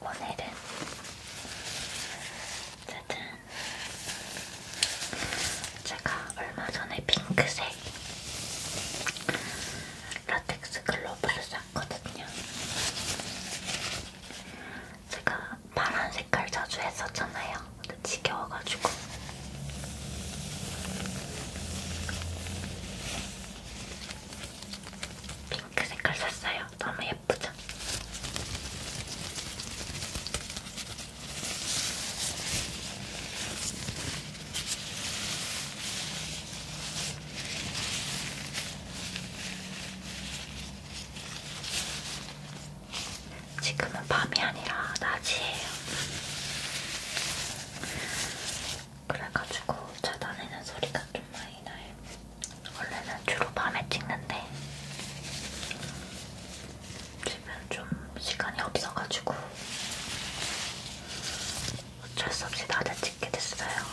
오늘은 짜잔 제가 얼마 전에 핑크색 라텍스 글로브를 샀거든요. 제가 파란 색깔 자주 했었잖아요. 근데 지겨워가지고. 핑크 색깔 샀어요. 너무 예쁘죠? 지금은 밤이 아니라 낮이에요. 그래가지고 차 다니는 소리가 좀 많이 나요. 원래는 주로 밤에 찍는데 집은 좀 시간이 없어가지고 어쩔 수 없이 낮에 찍게 됐어요.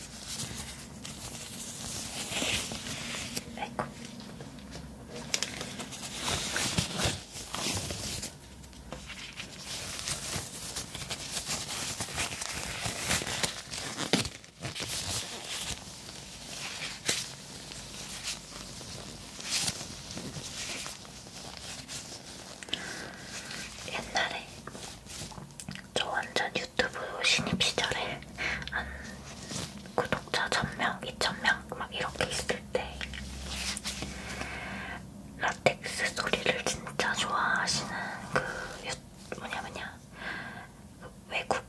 아이고. 옛날에 저 완전 유튜브 신입 시절에 한 구독자 1000명, 2000명 막 이렇게 있을 때 라텍스 소리를 진짜 좋아하시는 그 유, 뭐냐 뭐냐 그 외국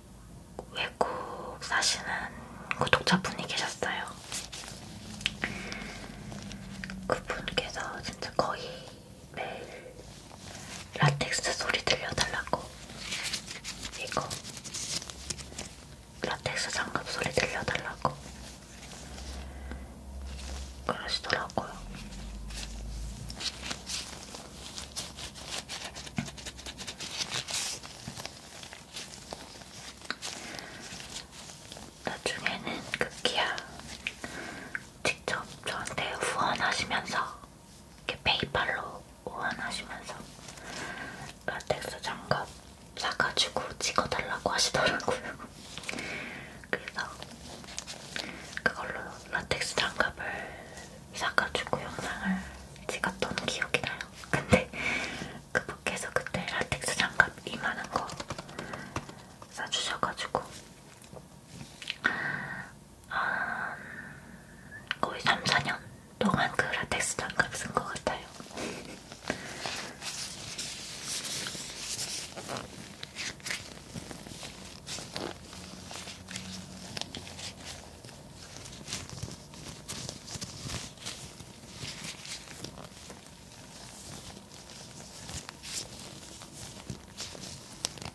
외국 사시는 구독자분이 계셨어요. 그분께서 진짜 거의 매일 라텍스 소리 들려달라고 이거 라텍스 장갑 소리 들려달라고 그러시더라고요. 나중에는 극기야 직접 저한테 후원하시면서 이렇게 페이팔로 후원하시면서 라텍스 장갑 사가지고 찍어달라고 하시더라고요. 그래서 그걸로 라텍스 장갑을 사가지고 영상을 찍었던 기억이 나요. 근데 그분께서 그때 라텍스 장갑 이만한 거 사주셔가지고 음, 거의 3, 4년 동안 그 라텍스 장갑 쓴 것 같아요.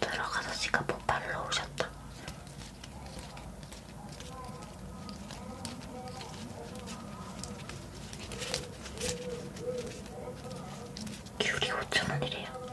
들어가서 시카포 발로 오셨다. 귤이 5,000원이래요.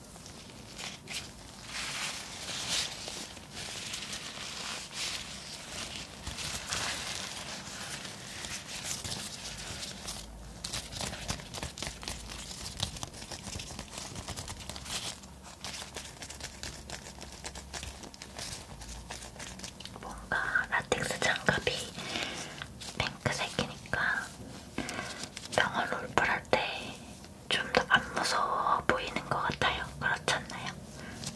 뭔가 라텍스 장갑이 핑크색이니까 병원 롤플할 때 좀더안 무서워 보이는 것 같아요. 그렇지 않나요?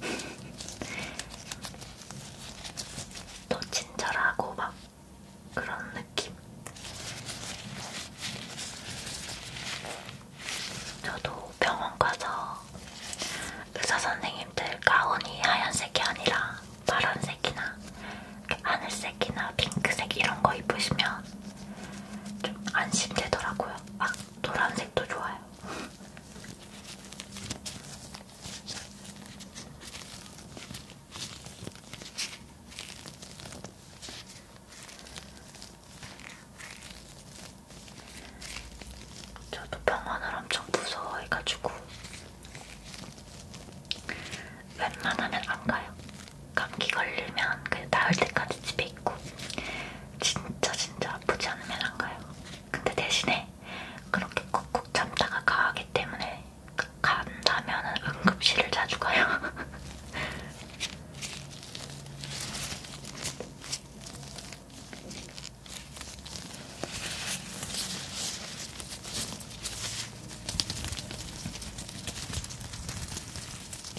더 친절하고 막 그런 느낌. 저도 병원 가서 의사 선생님들 가운이 하얀색이 아니라 파란색이나 하늘색이나 핑크색 이런 거 입으시면 좀 안심되더라고요. 막 노란색도 좋아요. 저도 병원을 엄청 무서워해가지고 웬만하면 안 가요. 감기 걸리면 그 나을 때까지 집에 있고 진짜 진짜 아프지 않으면 안 가요. 근데 대신에 그렇게 꾹꾹 참다가 가기 때문에 간다면은 응급실을 자주 가요.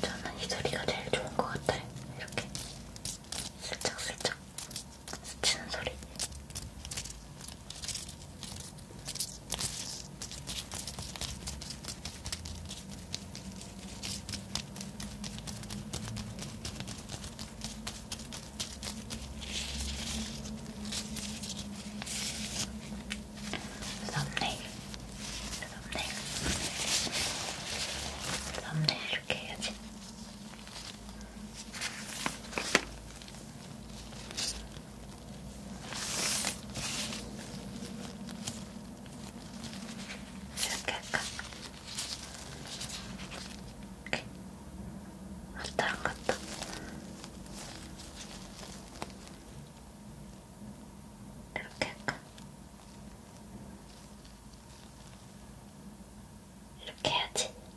저는 이 소리가 제일 좋은 것 같아요. 이렇게 슬쩍슬쩍. 슬쩍. 스치는 소리. 썸네일, 썸네일, 썸네일 이렇게 해야지. 이렇게 할까? 이렇게 왔다 안 갔다 이렇게 할까? 이렇게 해야지.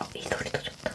어, 이 소리도 좋다.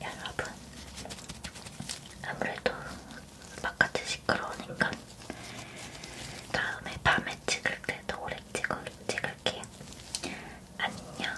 여러분, 아무래도 바깥이 시끄러우니까 다음에 밤에 찍을 때도 오래 찍을, 찍을게요. 안녕.